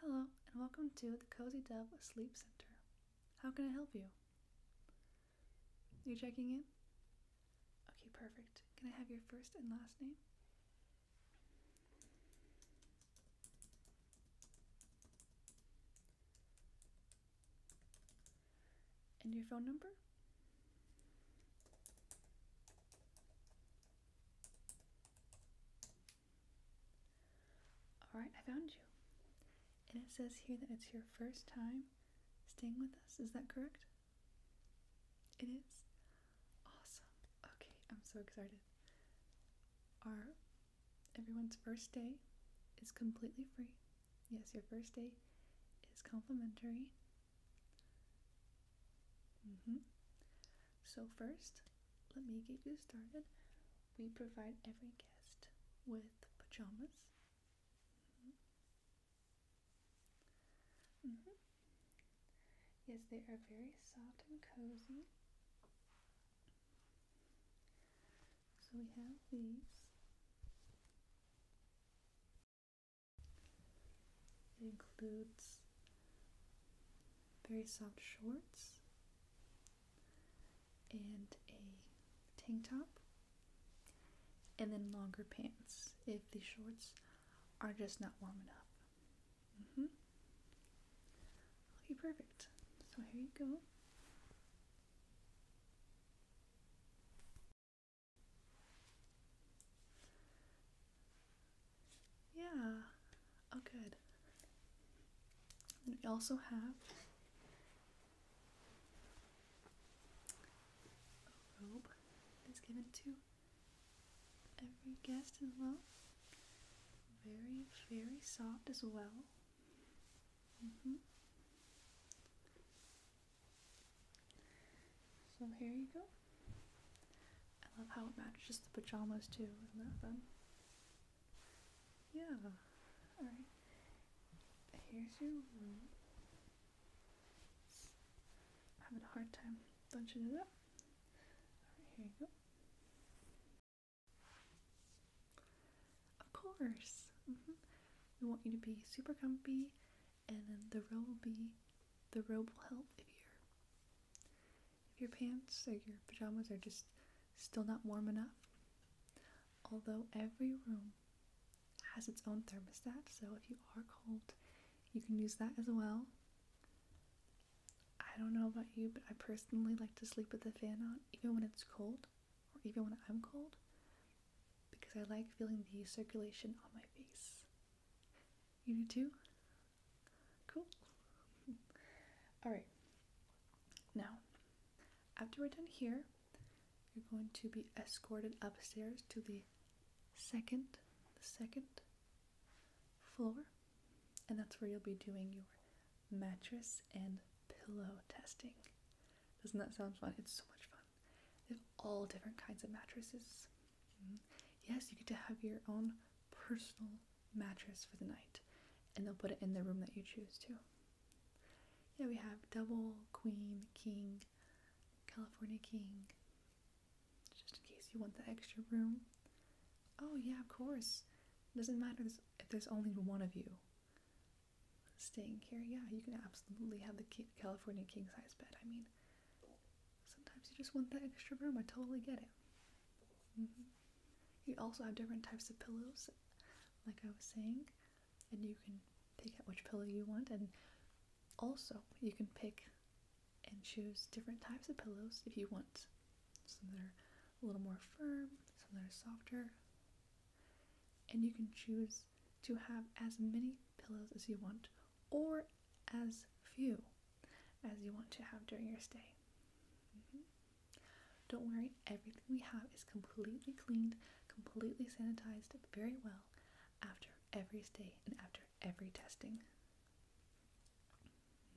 Hello, and welcome to the Cozy Dove Sleep Center. How can I help you? You checking in? Okay, perfect. Can I have your first and last name? And your phone number? Alright, I found you. And it says here that it's your first time staying with us. Is that correct? It is? Awesome. Okay, I'm so excited. Our everyone's first day is completely free. Yes, your first day is complimentary. Mm -hmm. So, first, let me get you started. We provide every guest with pajamas. Mm -hmm. Yes, they are very soft and cozy. So we have these. includes very soft shorts and a tank top and then longer pants if the shorts are just not warm enough. Mm-hmm. perfect. So here you go. Yeah. Oh, good. And we also have a robe that's given to every guest as well. Very, very soft as well. Mm-hmm. So here you go. I love how it matches the pajamas too. Isn't that fun? Yeah. Alright. Here's your room. having a hard time bunching it up. Alright, here you go. Of course. Mm-hmm. We want you to be super comfy and then the row will be the robe will help if your if your pants or your pajamas are just still not warm enough. Although every room has its own thermostat, so if you are cold, you can use that as well. I don't know about you, but I personally like to sleep with the fan on even when it's cold or even when I'm cold because I like feeling the circulation on my face. You do too? Cool. Alright. Now, after we're done here, you're going to be escorted upstairs to the second, the second floor. And that's where you'll be doing your mattress and pillow testing. Doesn't that sound fun? It's so much fun. They have all different kinds of mattresses. Mm-hmm. Yes, you get to have your own personal mattress for the night, and they'll put it in the room that you choose to. Yeah, we have double, queen, king, California king, just in case you want the extra room. Oh, yeah, of course. It doesn't matter if there's only one of you staying here. Yeah, you can absolutely have the California king size bed. I mean, sometimes you just want that extra room. I totally get it. Mm-hmm. You also have different types of pillows, like I was saying, and you can pick out which pillow you want, and also you can pick and choose different types of pillows if you want. Some that are a little more firm, some that are softer, and you can choose to have as many pillows as you want or as few as you want to have during your stay. Mm-hmm. Don't worry, everything we have is completely cleaned, completely sanitized very well after every stay and after every testing.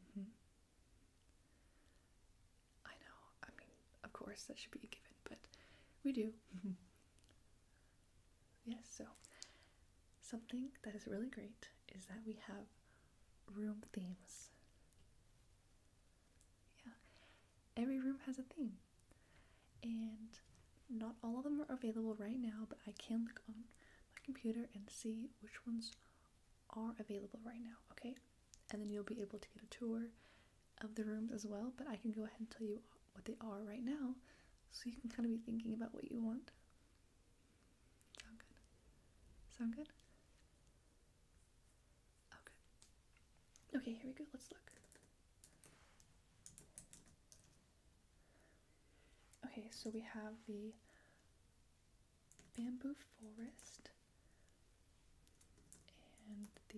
Mm-hmm. I know, I mean, of course, that should be a given, but we do. Yes, so something that is really great is that we have room themes. Yeah, every room has a theme, and not all of them are available right now, but I can look on my computer and see which ones are available right now, okay? And then you'll be able to get a tour of the rooms as well, but I can go ahead and tell you what they are right now so you can kind of be thinking about what you want. Sound good? Sound good? Okay. Oh, okay, here we go. Let's look. Okay, so we have the bamboo forest and the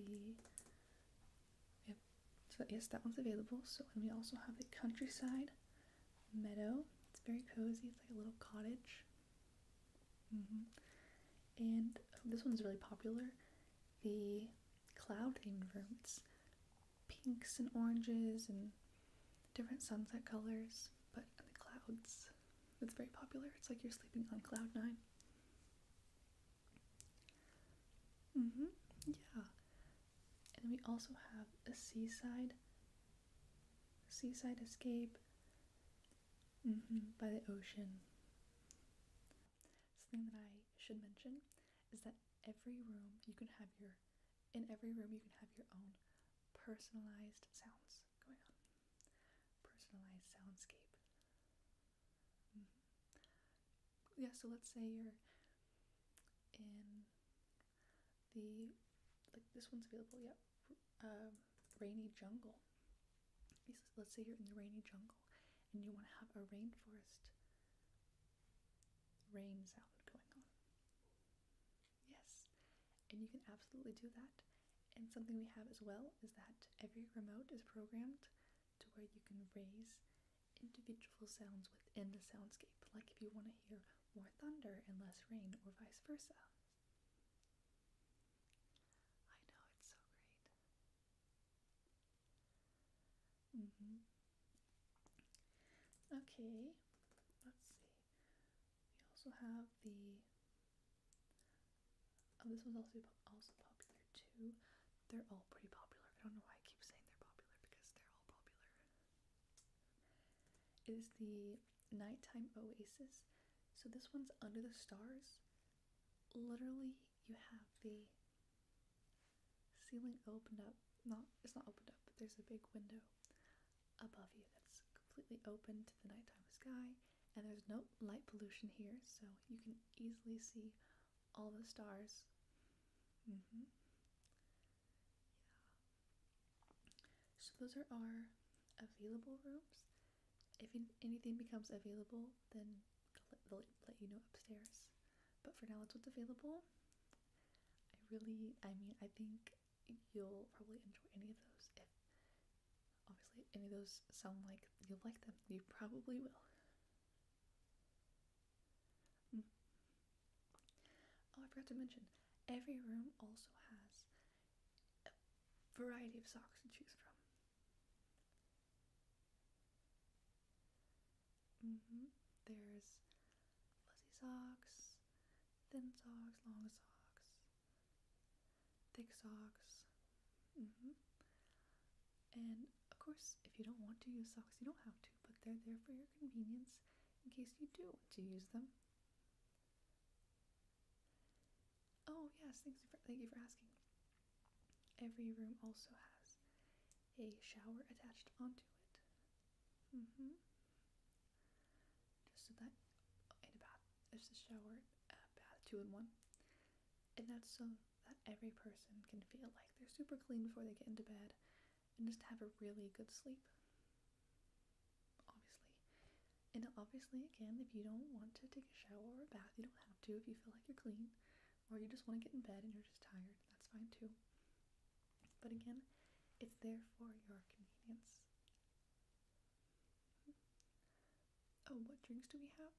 so yes, that one's available. So we also have the countryside meadow. It's very cozy. It's like a little cottage. Mm-hmm. And um, this one's really popular. The cloud themed room. It's pinks and oranges and different sunset colors, but the clouds. It's very popular. It's like you're sleeping on cloud nine. Mm-hmm. Yeah. And we also have a seaside seaside escape mm-hmm, by the ocean. Something that I should mention is that every room you can have your in every room you can have your own personalized sounds going on. Personalized soundscape. Mm-hmm. Yeah, so let's say you're in the like this one's available, yeah. Um, rainy jungle. Let's say you're in the rainy jungle and you want to have a rainforest rain sound going on. Yes, and you can absolutely do that and something we have as well is that every remote is programmed to where you can raise individual sounds within the soundscape, like if you want to hear more thunder and less rain, or vice versa. I know, it's so great. Mm-hmm. Okay, let's see. We also have the Oh, this one's also also popular too. They're all pretty popular. I don't know why I keep saying they're popular because they're all popular. It is the Nighttime Oasis. So this one's Under the Stars. Literally, you have the ceiling opened up. Not it's not opened up, but there's a big window above you that's completely open to the nighttime sky and there's no light pollution here, so you can easily see all the stars. Mm-hmm. So those are our available rooms. If anything becomes available, then they'll let you know upstairs. But for now, that's what's available. I really, I mean, I think you'll probably enjoy any of those. If obviously any of those sound like you will like them, you probably will. Mm. Oh, I forgot to mention, every room also has variety of socks to choose from. Mm-hmm. There's fuzzy socks, thin socks, long socks, thick socks. Mm-hmm. And of course, if you don't want to use socks, you don't have to, but they're there for your convenience in case you do want to use them. Oh yes, thanks thank you for asking. Every room also has a shower attached onto it. Mm-hmm. Just that in a bath. It's a shower, a bath, two in one. And that's so that every person can feel like they're super clean before they get into bed and just have a really good sleep. Obviously. And obviously, again, if you don't want to take a shower or a bath, you don't have to if you feel like you're clean or you just want to get in bed and you're just tired. That's fine too. But again, it's there for your convenience. Oh, what drinks do we have?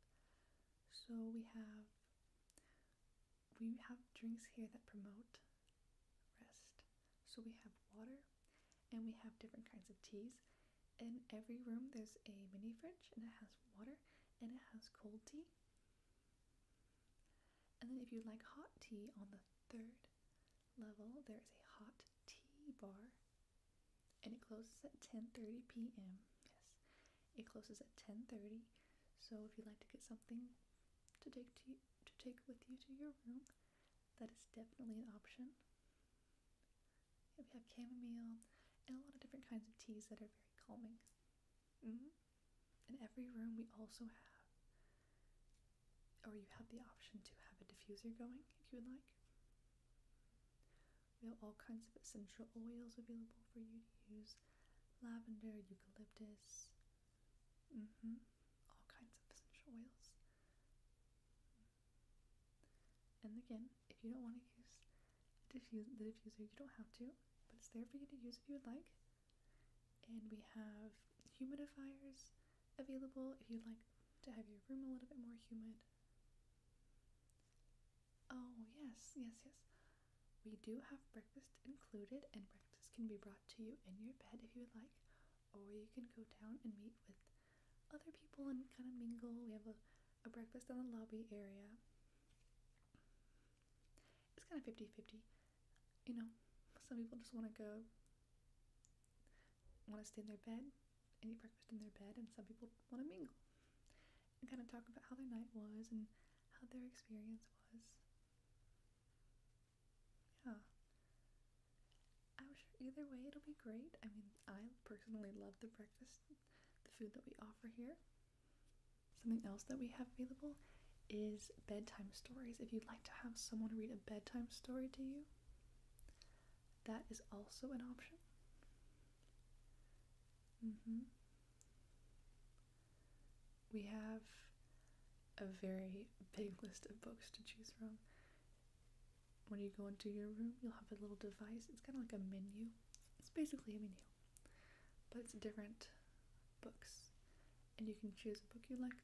So we have we have drinks here that promote rest. So we have water and we have different kinds of teas. In every room there's a mini fridge and it has water and it has cold tea. And then if you would like hot tea on the third level, there is a hot tea bar, and it closes at 10:30 p.m. Yes, it closes at 10:30. So if you'd like to get something to take to to take with you to your room, that is definitely an option. we have chamomile and a lot of different kinds of teas that are very calming. mm In every room, we also have or you have the option to have a diffuser going if you would like. We have all kinds of essential oils available for you to use lavender, eucalyptus, mm-hmm, all kinds of essential oils. And again, if you don't want to use diffuse, the diffuser, you don't have to, but it's there for you to use if you would like. And we have humidifiers available if you'd like to have your room a little bit more humid. Oh, yes, yes, yes. We do have breakfast included, and breakfast can be brought to you in your bed if you would like, or you can go down and meet with other people and kind of mingle. We have a, a breakfast in the lobby area it's kind of 50 50. You know, some people just want to go, want to stay in their bed and eat breakfast in their bed, and some people want to mingle and kind of talk about how their night was and how their experience was. Yeah. I'm sure either way it'll be great. I mean, I personally love the breakfast, the food that we offer here. Something else that we have available is bedtime stories. If you'd like to have someone read a bedtime story to you, that is also an option. Mm-hmm. We have a very big list of books to choose from. When you go into your room, you'll have a little device. It's kind of like a menu. It's basically a menu. But it's different books, and you can choose a book you like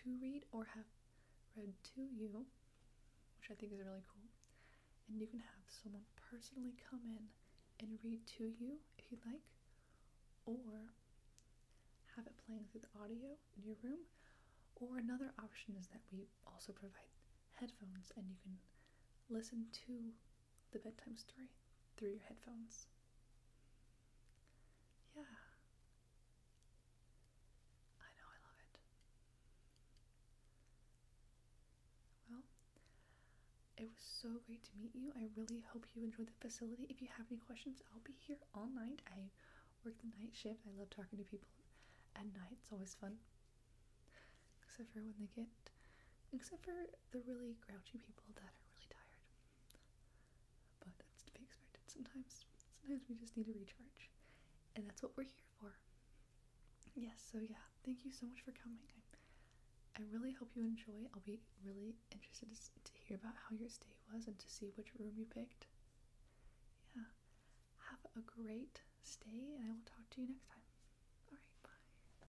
to read or have read to you, which I think is really cool. And you can have someone personally come in and read to you if you would like, or have it playing through the audio in your room. Or another option is that we also provide headphones and you can listen to the bedtime story through your headphones. Yeah. I know, I love it. Well, it was so great to meet you. I really hope you enjoyed the facility. If you have any questions, I'll be here all night. I work the night shift. I love talking to people at night, it's always fun. Except for when they get, except for they're really grouchy people that are really tired. But that's to be expected sometimes. Sometimes we just need to recharge. And that's what we're here for. Yes, so yeah, thank you so much for coming. I, really hope you enjoy. I'll be really interested to, to hear about how your stay was and to see which room you picked. Yeah. Have a great stay, and I will talk to you next time. Alright, bye.